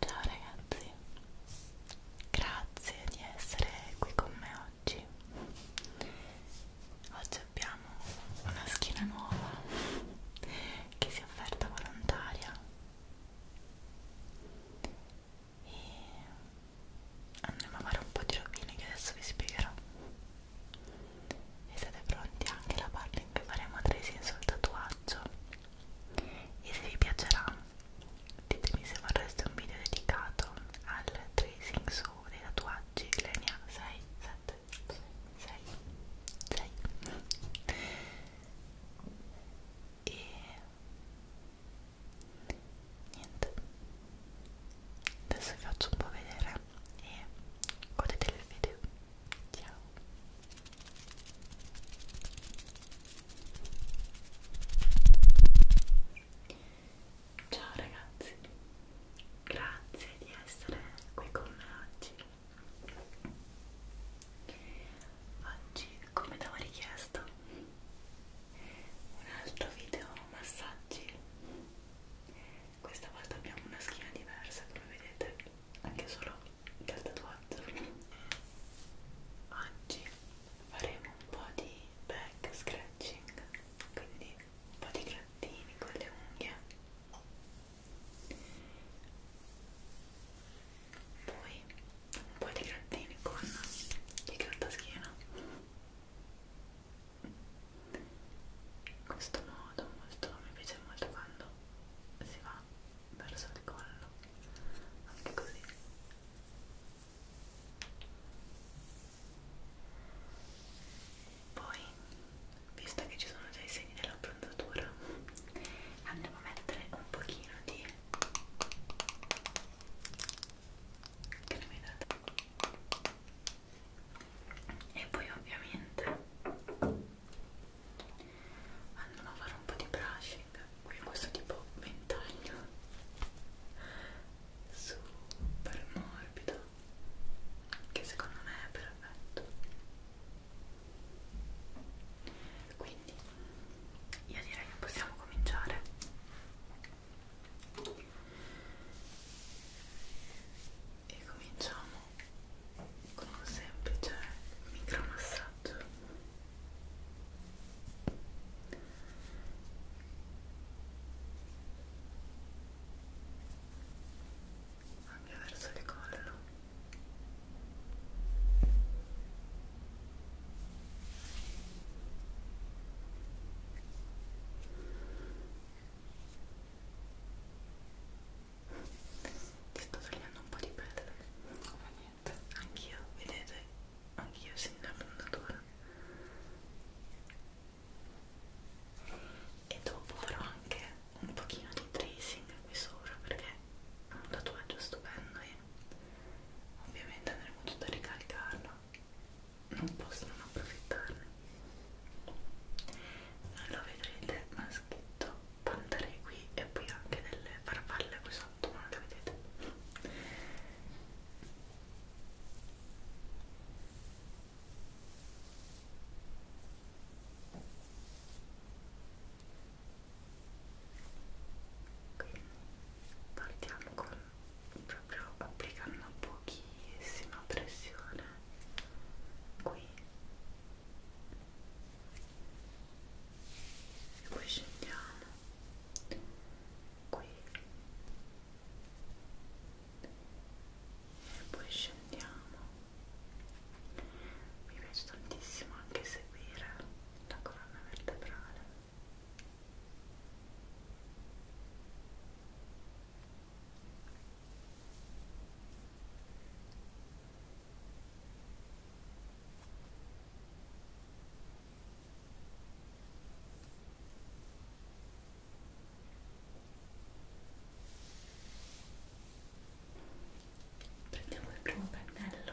Ciao ragazzi, grazie di essere qui con me oggi. Oggi abbiamo una schiena nuova che si è offerta volontaria e andremo a fare un po' di rovine che adesso vi spiegherò e siete pronti anche alla parte in cui faremo tracing sul tatuaggio e se vi piacerà ditemi se vorreste un video dedicato al tracing su dei tatuaggi le ne ha 6, 7, 6, 6 e niente adesso vi faccio un po' vedere e godetevi il video ciao ciao ragazzi grazie di essere qui con me oggi oggi come t'avevo richiesto un altro video massaggi questa volta abbiamo una schiena diversa come vedete anche solo dal tatuaggio oggi faremo un po' di back scratching quindi un po' di grattini con le unghie poi un po' di grattini con il grattaschino in questo modo molto, mi piace molto quando si va verso il collo anche così poi visto che ci sono già i segni dell'abbronzatura andiamo a mettere un pochino di che ne mi date e poi ovviamente andiamo a fare un po' di brushing qui questo tipo ventaglio super morbido che secondo me è perfetto quindi io direi che possiamo cominciare e cominciamo con un semplice micromassaggio anche verso il collo ti sto svegliando un po' di pelle, come niente. Anch'io, vedete, anch'io sembra fondatura. E dopo farò anche un pochino di tracing qui sopra perché un tatuaggio stupendo e ovviamente andremo tutto a ricalcarlo non posso non approfittarne non lo vedrete ma è scritto pantare qui e poi anche delle farfalle qui sotto ma non le vedete quindi partiamo con proprio applicando pochissima pressione qui e poi scendiamo qui e poi scendiamo mi piace tantissimo anche seguire la colonna vertebrale prendiamo il primo pennello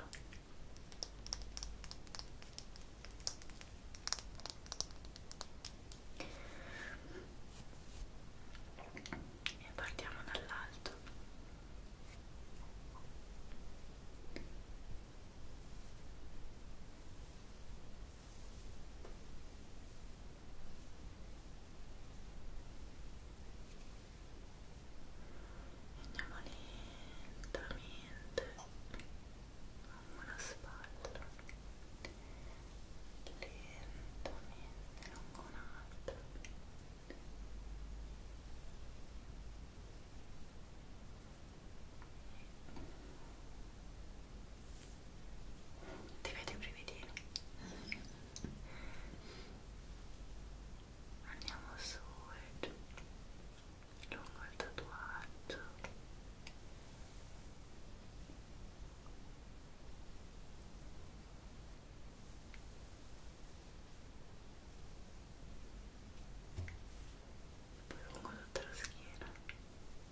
e partiamo dall'alto e andiamo lentamente lungo la spalla lentamente lungo un'altra ti vedo i brividini andiamo su e giù lungo il tatuaggio poi lungo tutta la schiena e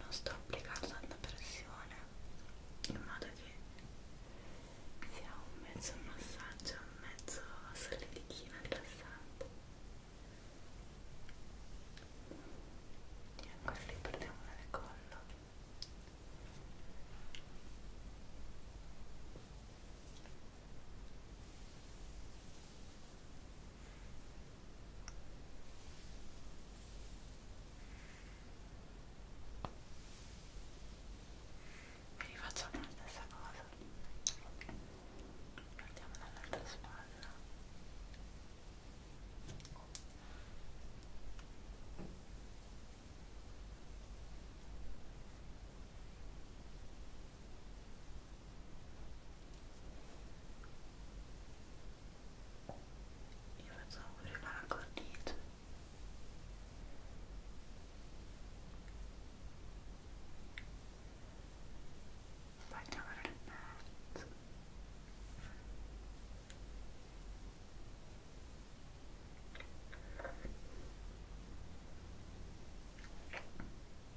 non sto applicando tanta pressione in modo che sia un mezzo massaggio un mezzo solidichino rilassante e ancora li portiamo nel collo mi rifacciamo la stessa cosa partiamo dall'altra spalla ok Even though we're not gonna need my darn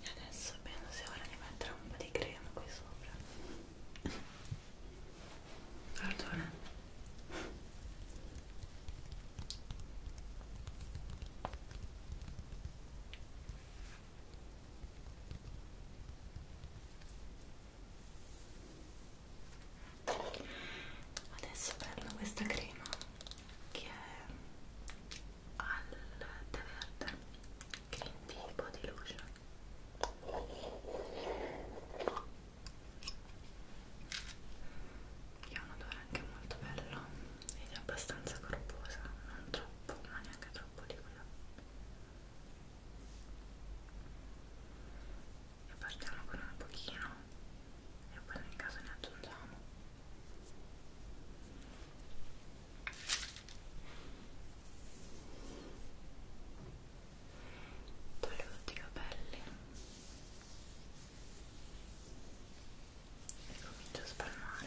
E adesso penso sia ora di mettere un po' di crema qui sopra. Pardona adesso prendo questa crema che è al tè verde green tea body lotion che ha un odore anche molto bello ed è abbastanza corposa non troppo ma neanche troppo liquida e partiamo con un pochino e poi nel caso ne aggiungiamo toglio tutti i capelli e comincio a spalmare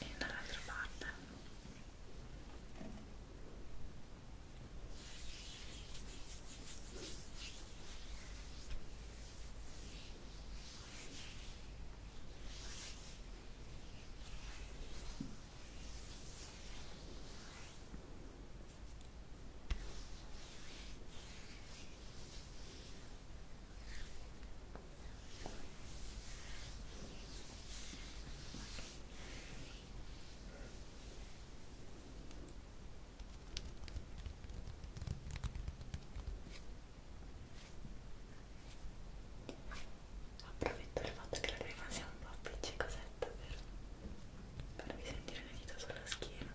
e dall'altra parte Approfitto del fatto che la crema sia un po' appiccicosetta per farvi sentire le dita sulla schiena.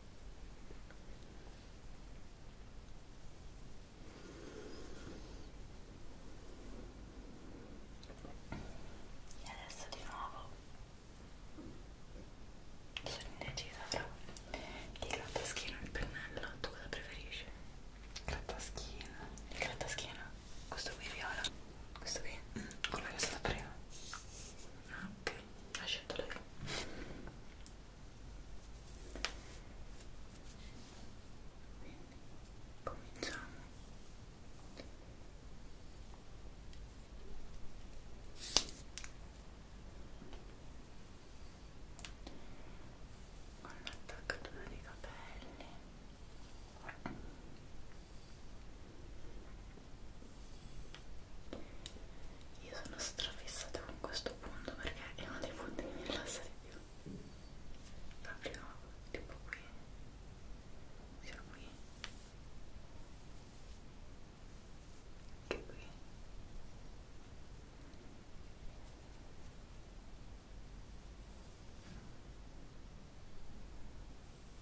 e adesso di nuovo sono indecisa fra il grattaschino e il pennello tu cosa preferisci? grattaschino il grattaschino? questo qui viola? questo qui? Mm, quello che è stato prima? ok ok ha scelto lei quindi cominciamo con l'attaccatura dei capelli io sono strafissata con questo punto perché è uno dei punti che mi rilassa di più. Proprio tipo qui. Sia qui. Che qui.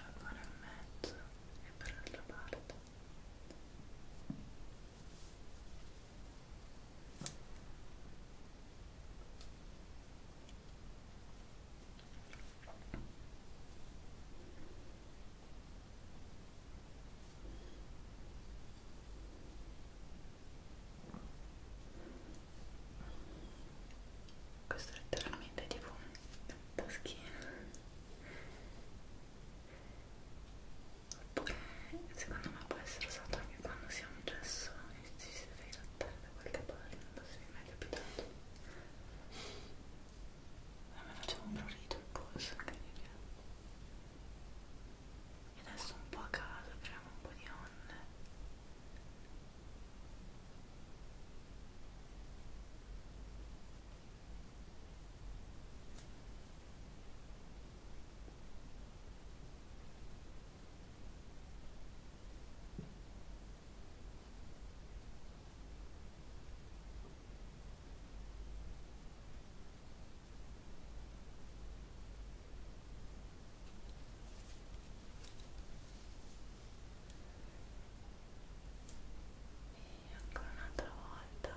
ancora in mezzo e per l'altra parte questo è letteralmente tipo un taschino oppure secondo me può essere usato anche quando si ha un gesso e ci si deve grattare da qualche parte non so se vi è mai capitato a me faceva un prurito il polso incredibile e adesso un po' a caso apriamo un po' di onde Ecco e ancora un'altra volta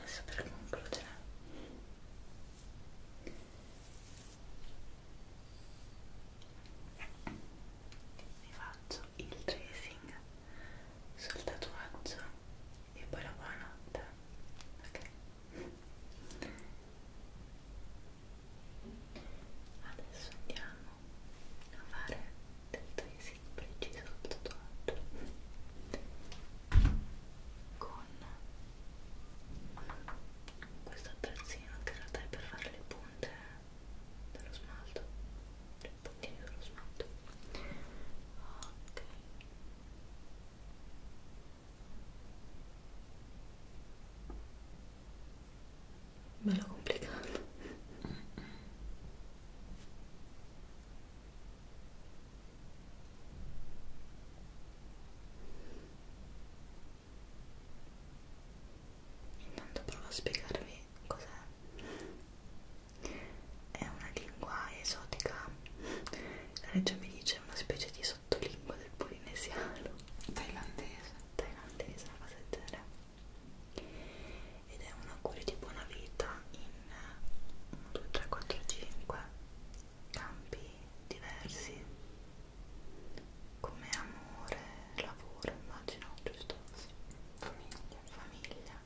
Adesso per concludere vi faccio il tracing sul tatuaggio e poi la buonanotte ok adesso andiamo a fare del tracing preciso sul tatuaggio con questo attrezzino che in realtà è per fare le punte dello smalto i puntini dello smalto ok ok bello complicato mm -mm. intanto provo a spiegarvi cos'è è una lingua esotica la regia mi dice una specie di sottolingua del polinesiano Thailandese. Thailandese, una cosa del genere. Ed è un augurio di buona vita in 1, 2, 3, 4, 5 campi diversi come amore, lavoro, immagino, giusto? Sì. Famiglia, famiglia.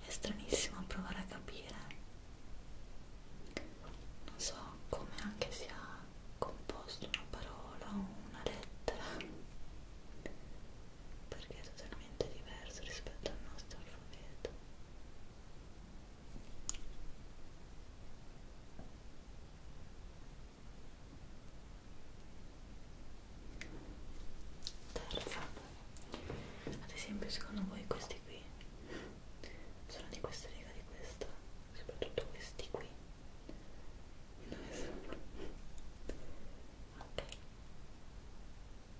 È stranissimo provare a capire, non so come anche sia composto una parola o una lettera, perché è totalmente diverso rispetto al nostro alfabeto terza ad esempio secondo voi questi qui sono di questa riga di questa soprattutto questi qui dove sono ok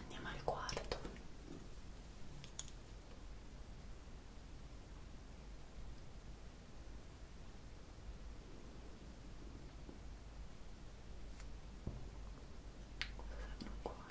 Andiamo al quarto. Questo sembra un cuore.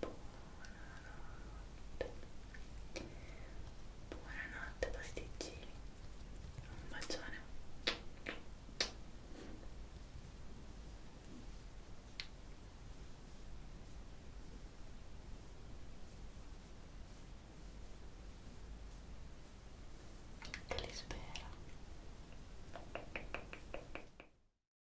Buonanotte. Buonanotte pasticcini. Un bacione. Te li spero.